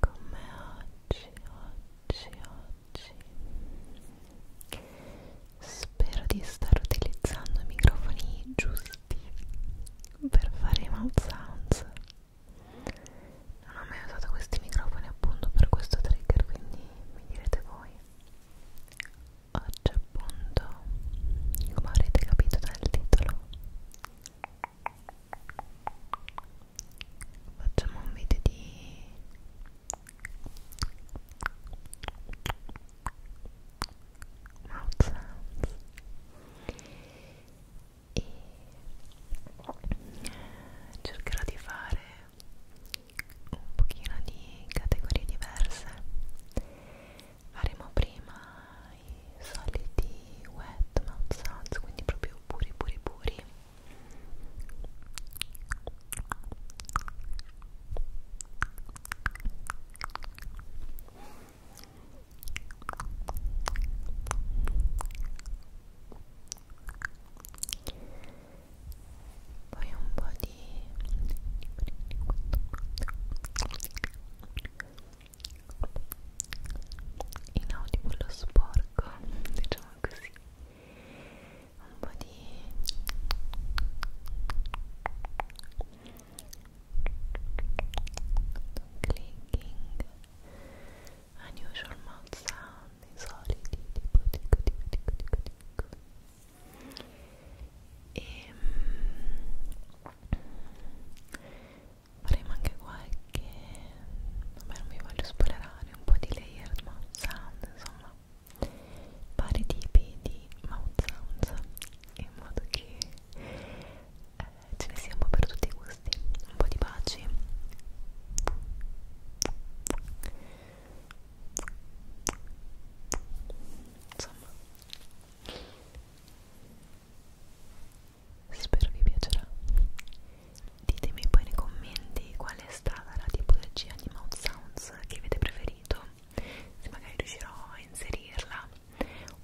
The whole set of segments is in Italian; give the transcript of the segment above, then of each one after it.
come oggi, oggi, oggi spero di stare utilizzando i microfoni giusti per fare i mouth sounds non ho mai usato questi microfoni appunto per questo trigger quindi mi direte voi oggi appunto come avrete capito dal titolo facciamo un video di mouth sounds e cercherò di fare un pochino di categorie diverse faremo prima i soliti wet mouth sounds quindi proprio puri puri puri poi un po' di inaudivo lo sporco, diciamo così un po' di clicking unusual mouth sound insoliti tipo dico dico dico dico dico e ehm, faremo anche qualche vabbè non mi voglio spoilerare un po' di layered mouth sound insomma vari tipi di mouth sounds in modo che eh, ce ne sia un po' per tutti i gusti un po' di baci insomma spero vi piacerà ditemi poi nei commenti qual è stata la tipologia di mouth sounds che avete preferito se magari riuscirò a inserirla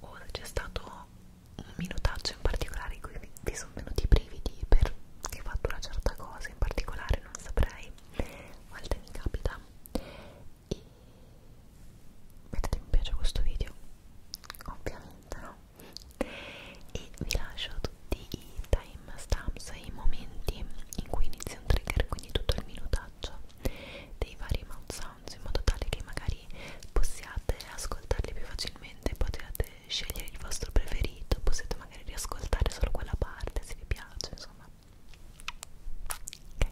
o se c'è stato un minutaggio in particolare in cui vi sono venuti i brividi perché ho fatto una certa cosa in particolare non saprei a volte mi capita e mettete mi piace a questo video ovviamente no e vi lascio tutti i timestamps e i momenti in cui inizia un trigger quindi tutto il minutaggio dei vari mouth sounds in modo tale che magari possiate ascoltarli più facilmente potete scegliere il vostro preferito possiate magari riascoltare solo quella parte se vi piace insomma ok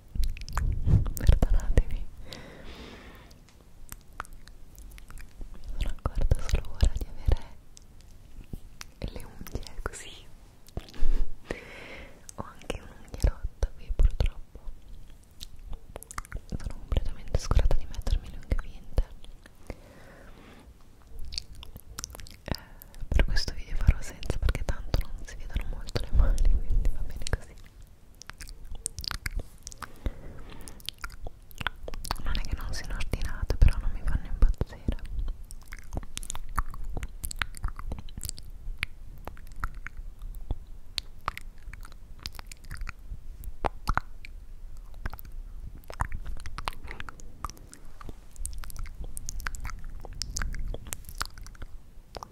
perdonatevi mi sono accorta solo ora di avere le unghie così ho anche un'unghia rotta qui purtroppo sono completamente scurata di mettermi le unghie vinte eh, per questo video farò senza perché tanto non si vedono molto le mani quindi va bene così così non è che non siano ordinate però non mi fanno impazzire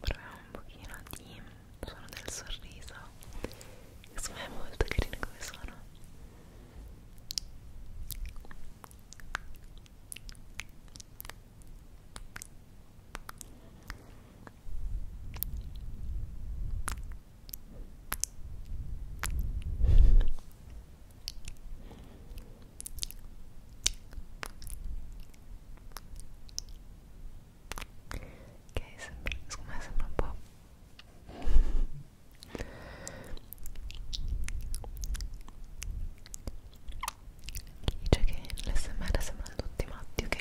proviamo un pochino di suono del sorriso secondo me è molto carino come suono Ecco che sembra, secondo me sembra un po' dice che l'SMR sembrano tutti matti ok,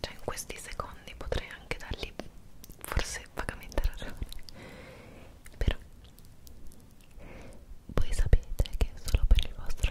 cioè in questi secondi potrei anche dargli forse vagamente ragione però voi sapete che solo per il vostro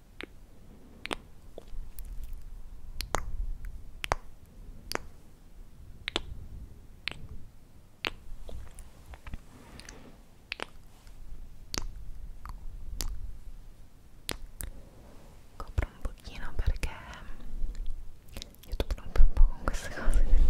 Copro un pochino perché YouTube rompe un po' con queste cose quindi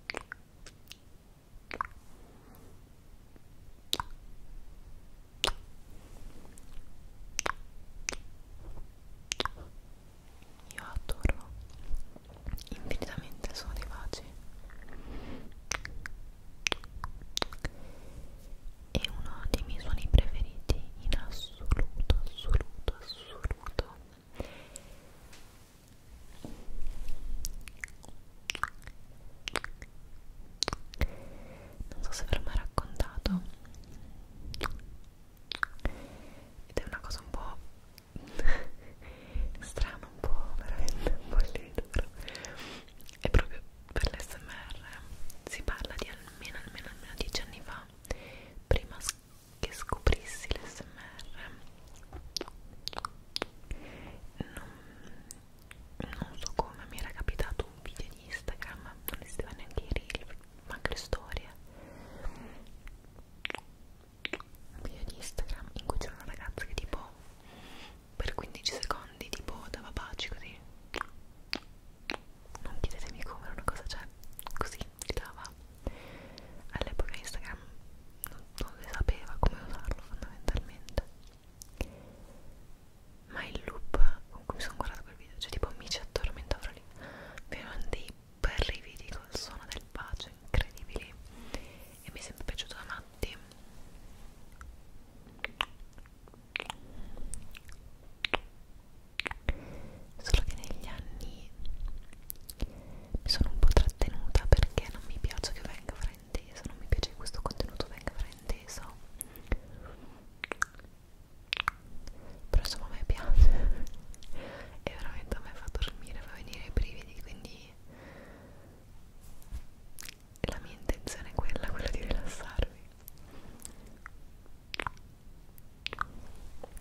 Io adoro infinitamente il suono dei baci è uno dei miei suoni preferiti in assoluto, assoluto, assoluto non so se ve l'ho mai raccontato ed è una cosa un po' strana, un po' veramente un po' illimitata è proprio per l'SMR si parla di almeno almeno almeno 10 anni fa prima che scoprissi l'SMR non, non so come mi era capitato un video di Instagram non esisteva neanche i reel ma anche le storie un video di Instagram in cui c'era una ragazza che tipo per 15 secondi tipo dava baci così non chiedetemi come era una cosa cioè così pubblicava all'epoca Instagram non, non si sapeva come usarlo fondamentalmente ma il loop con cui mi sono guardato quel video cioè tipo mi ci addormentavo lì mi erano dei brividi col suono del bacio incredibili e mi è sempre piaciuto da matti solo che negli anni mi sono un po' trattenuta perché non mi piace che venga frainteso, non mi piace che questo contenuto venga frainteso però insomma a me piace e veramente a me fa dormire, fa venire i brividi quindi la mia intenzione è quella, quella di rilassarvi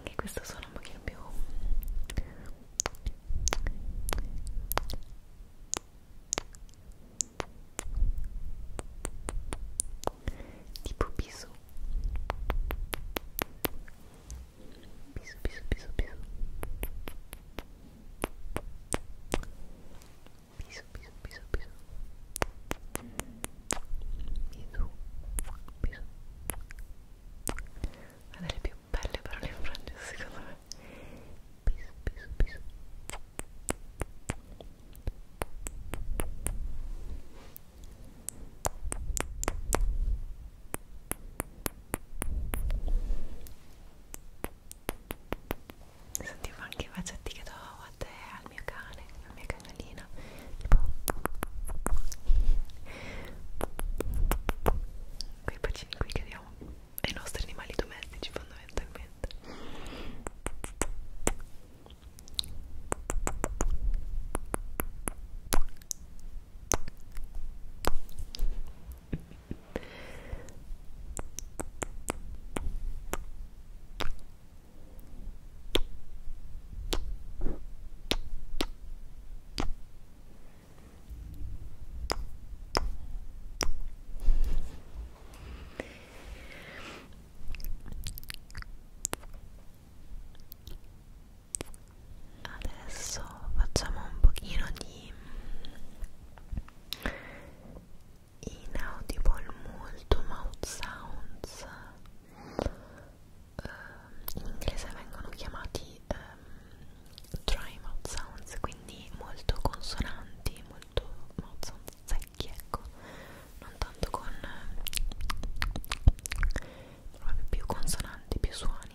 anche questo suono un pochino più tipo piso piso piso piso piso Bisous, bisous, bisous, bisous. Bisous, bisous. Una delle più belle parole in francese, secondo me. Bisous, bisous, bisous. Bisous, sentivo anche i bacetti che do a te, al mio cane, alla mia cagnolina tipo quei bacini qui che diamo ai nostri animali domestici fondamentalmente Adesso facciamo un pochino di inaudible molto mouth sounds uh, in inglese vengono chiamati um, dry mouth sounds quindi molto consonanti molto mouth sounds secchi ecco non tanto con ehm, proprio più consonanti più suoni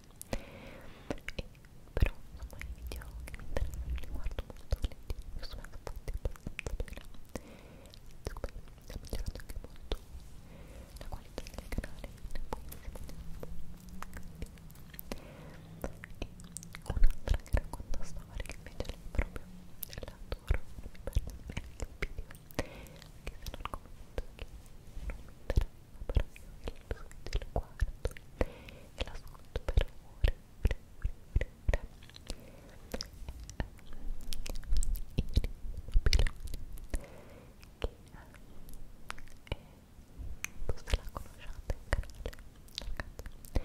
e però insomma i video che mi interessano li guardo molto volentieri sono fatti abbastanza bene secondo me ha migliorato anche molto la qualità del canale ne puoi e un'altra che racconta storie che invece lei proprio l'adoro non mi perdo neanche il video anche se non commento che non mi interessa però io il video lo guardo e e l'ascolto per ore, ore, ore, ore, ore. Iri Babiloni che eh, forse la conosciate, un canale ragazzi che è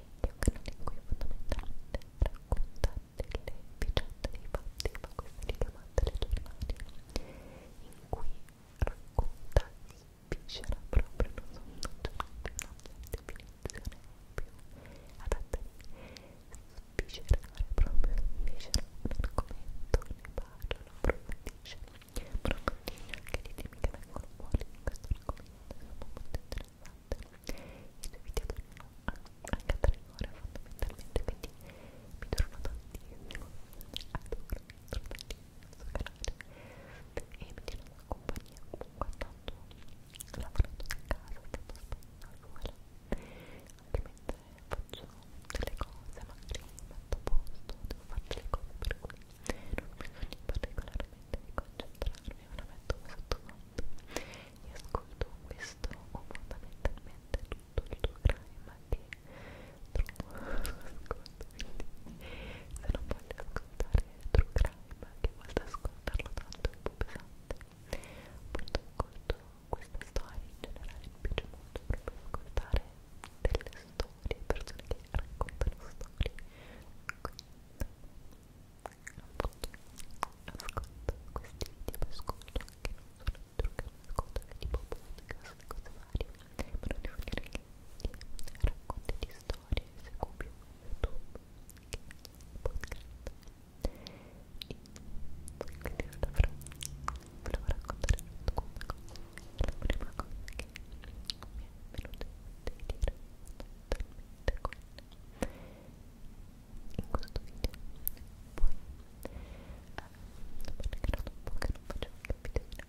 un canale in cui fondamentalmente racconta delle vicende, dei fatti, ma questa è richiamata alle giornate in cui racconta di piscerà proprio, non so, non c'è una definizione più adatta di sviscerare proprio, sviscerà un argomento, ne parla, lo approfondisce, però continua anche le temi che vengono fuori in questo argomento, sono molto interessanti, i suoi video durano anche tre ore fondamentalmente, quindi mi torno tantissimo, adoro, adoro tantissimo nostro canale e mi tiene compagnia comunque tanto lavorando da casa, stando aspettando la scuola anche mentre faccio delle cose, magari metto a posto, devo fare delle cose per cui non bisogna particolarmente di concentrarmi, ma la metto sottofondo e ascolto questo o fondamentalmente tutto il tuo crime che True ascolto quindi se non voglio ascoltare True Crime che volta ascoltarlo tanto è un po' pesante appunto ascolto queste storie in generale mi piace molto proprio ascoltare delle storie persone che raccontano storie quindi appunto ascolto questi video ascolto anche non solo True Crime ascolto anche tipo podcast cose vari per racconti di storie seguo più YouTube che podcast e quindi avrò, volevo raccontare alcune cose la prima cosa che mi è venuta di dire totalmente quella in questo video poi eh, perché era un po' che non facevo più video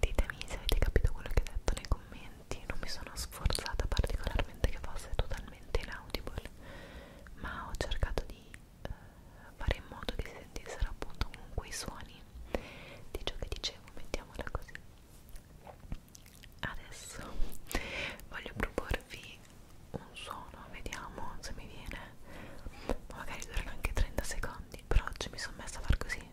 Ditemi se avete capito quello che ho detto nei commenti, non mi sono sforzata particolarmente che fosse totalmente inaudible, ma ho cercato di eh, fare in modo che si sentissero appunto comunque i suoni di ciò che dicevo, mettiamola così. Adesso voglio proporvi un suono vediamo se mi viene ma magari durano anche 30 secondi però oggi mi sono messa a far così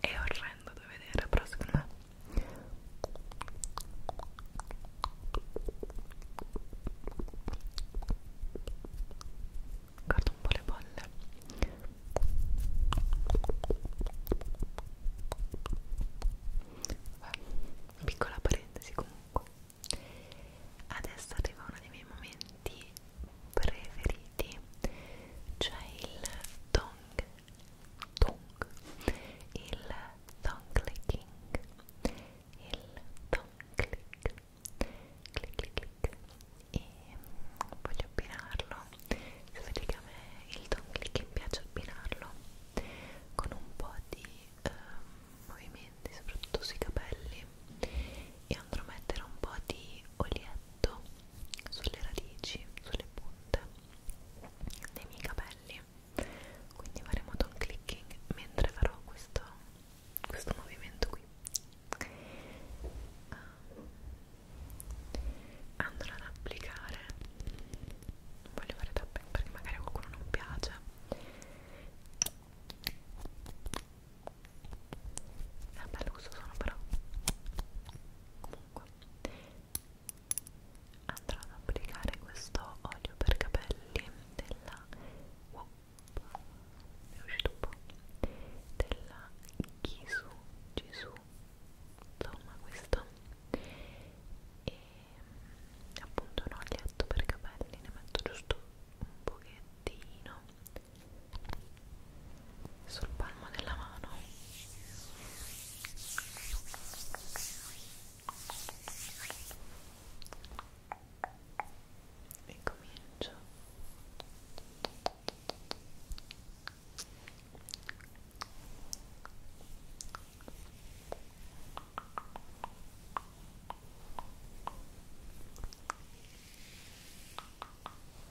è orrendo da vedere però secondo me guarda un po' le bolle Vabbè, piccola parentesi comunque adesso arriva uno dei miei momenti preferiti c'è il tongue, tongue, il tongue clicking, il tongue click, click click click e voglio abbinarlo, sapete che a me il tongue clicking piace abbinarlo con un po' di eh, movimenti soprattutto sui capelli e andrò a mettere un po' di olietto sulle radici, sulle punte dei miei capelli quindi faremo ton clicking mentre farò questo, questo movimento qui ah. andrò ad applicare non voglio fare tapping perché magari a qualcuno non piace è bello questo suono però comunque andrò ad applicare questo olio per capelli della wow, è uscito un po' della Gisu Gisu insomma questo e appunto un olietto per capelli ne metto giusto un pochettino sul palmo della mano e comincio e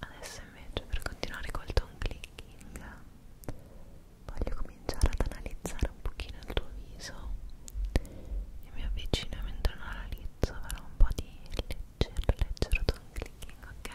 Adesso invece per continuare col tone clicking voglio cominciare ad analizzare un pochino il tuo viso e mi avvicino e mentre lo analizzo farò un po' di leggero, leggero tone clicking, ok?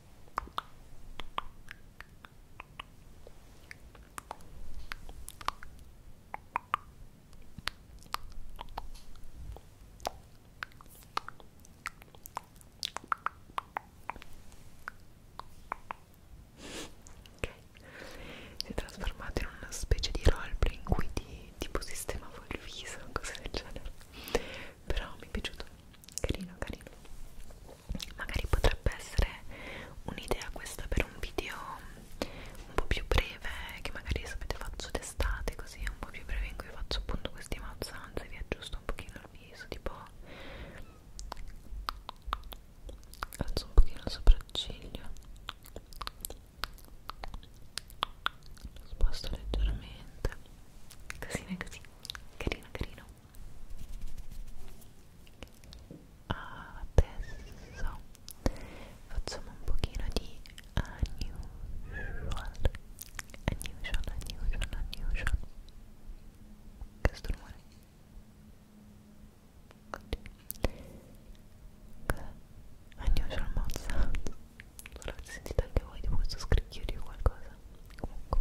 Ok, si è trasformato in una specie di roleplay in cui ti tipo sistemavo il viso, cose del genere. Però mi è piaciuto, carino, carino magari potrebbe essere un'idea questa per un video un po' più breve che magari sapete faccio d'estate così un po' più breve in cui faccio appunto questi mazzanze vi aggiusto un pochino il viso tipo alzo un pochino il sopracciglio lo sposto leggermente casino così carino carino adesso facciamo un pochino di unusual unusual, unusual, unusual che strumore unusual mouth sound l'avete sentito anche voi di questo scricchio di qualcosa comunque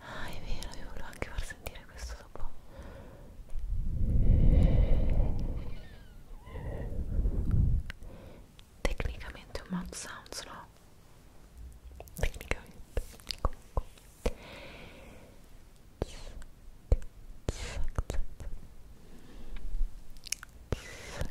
Ah, è vero, io volevo anche far sentire questo dopo. Tecnicamente un mouth sounds, no? Tecnicamente, comunque. Zac, zac, zac. Zac,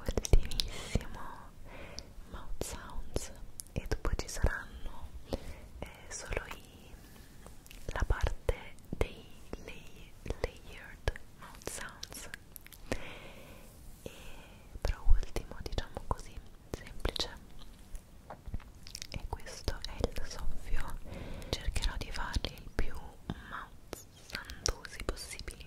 ultimissimo Mouth Sounds e dopo ci saranno eh, solo i, la parte dei lay, layered Mouth Sounds e però ultimo diciamo così semplice e questo è il soffio cercherò di farli il più mouth sandosi possibili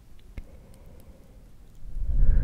adoro adoro adoro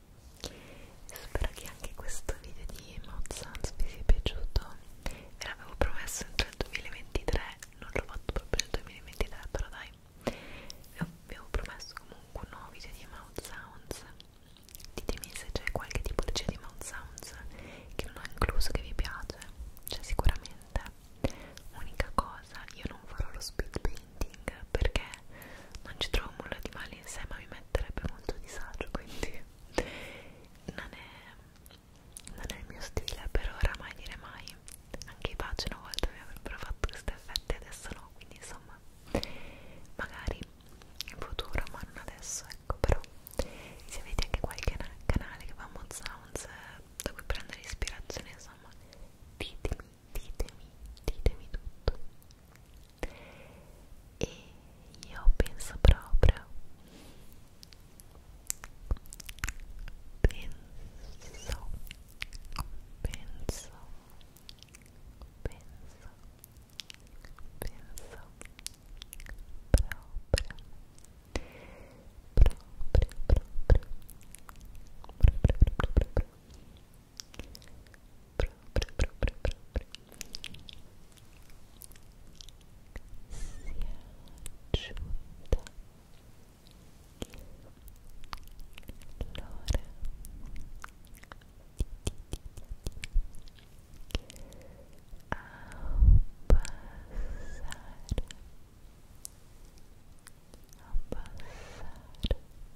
Spero che anche questo video di Mouth Sounds vi sia piaciuto Ve l'avevo promesso entro il 2023 Non l'ho fatto proprio nel 2023 però dai Vi avevo promesso comunque un nuovo video di Mouth Sounds Ditemi se c'è qualche tipologia di Mouth Sounds che non ho incluso che vi piace Cioè sicuramente Unica cosa, io non farò lo speed building painting perché non ci trovo nulla di male in sé ma mi metterebbe molto disagio quindi non è, non è il mio stile per ora mai dire mai anche i pace una volta mi avrebbero fatto questi effetti adesso no quindi insomma magari in futuro ma non adesso ecco però se avete anche qualche canale che fa mod sounds eh, da cui prendere ispirazione insomma ditemi ditemi, ditemi tutto e io penso proprio penso penso penso penso proprio proprio proprio proprio proprio proprio própria, própria, própria. Se ajuda. Laura. Ao passar, ao passar,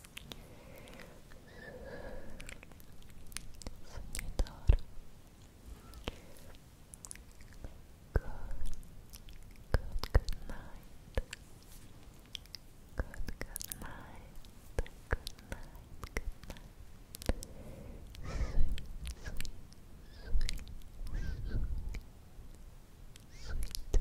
Sognatore Good, good, good night Good, good night Good night, good night Sweet, sweet, sweet, sweet Sweet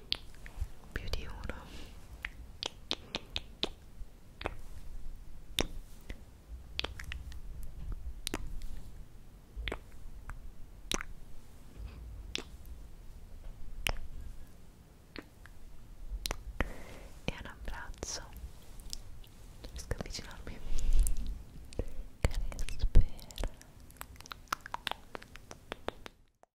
più di uno e un abbraccio riesco a avvicinarmi che spero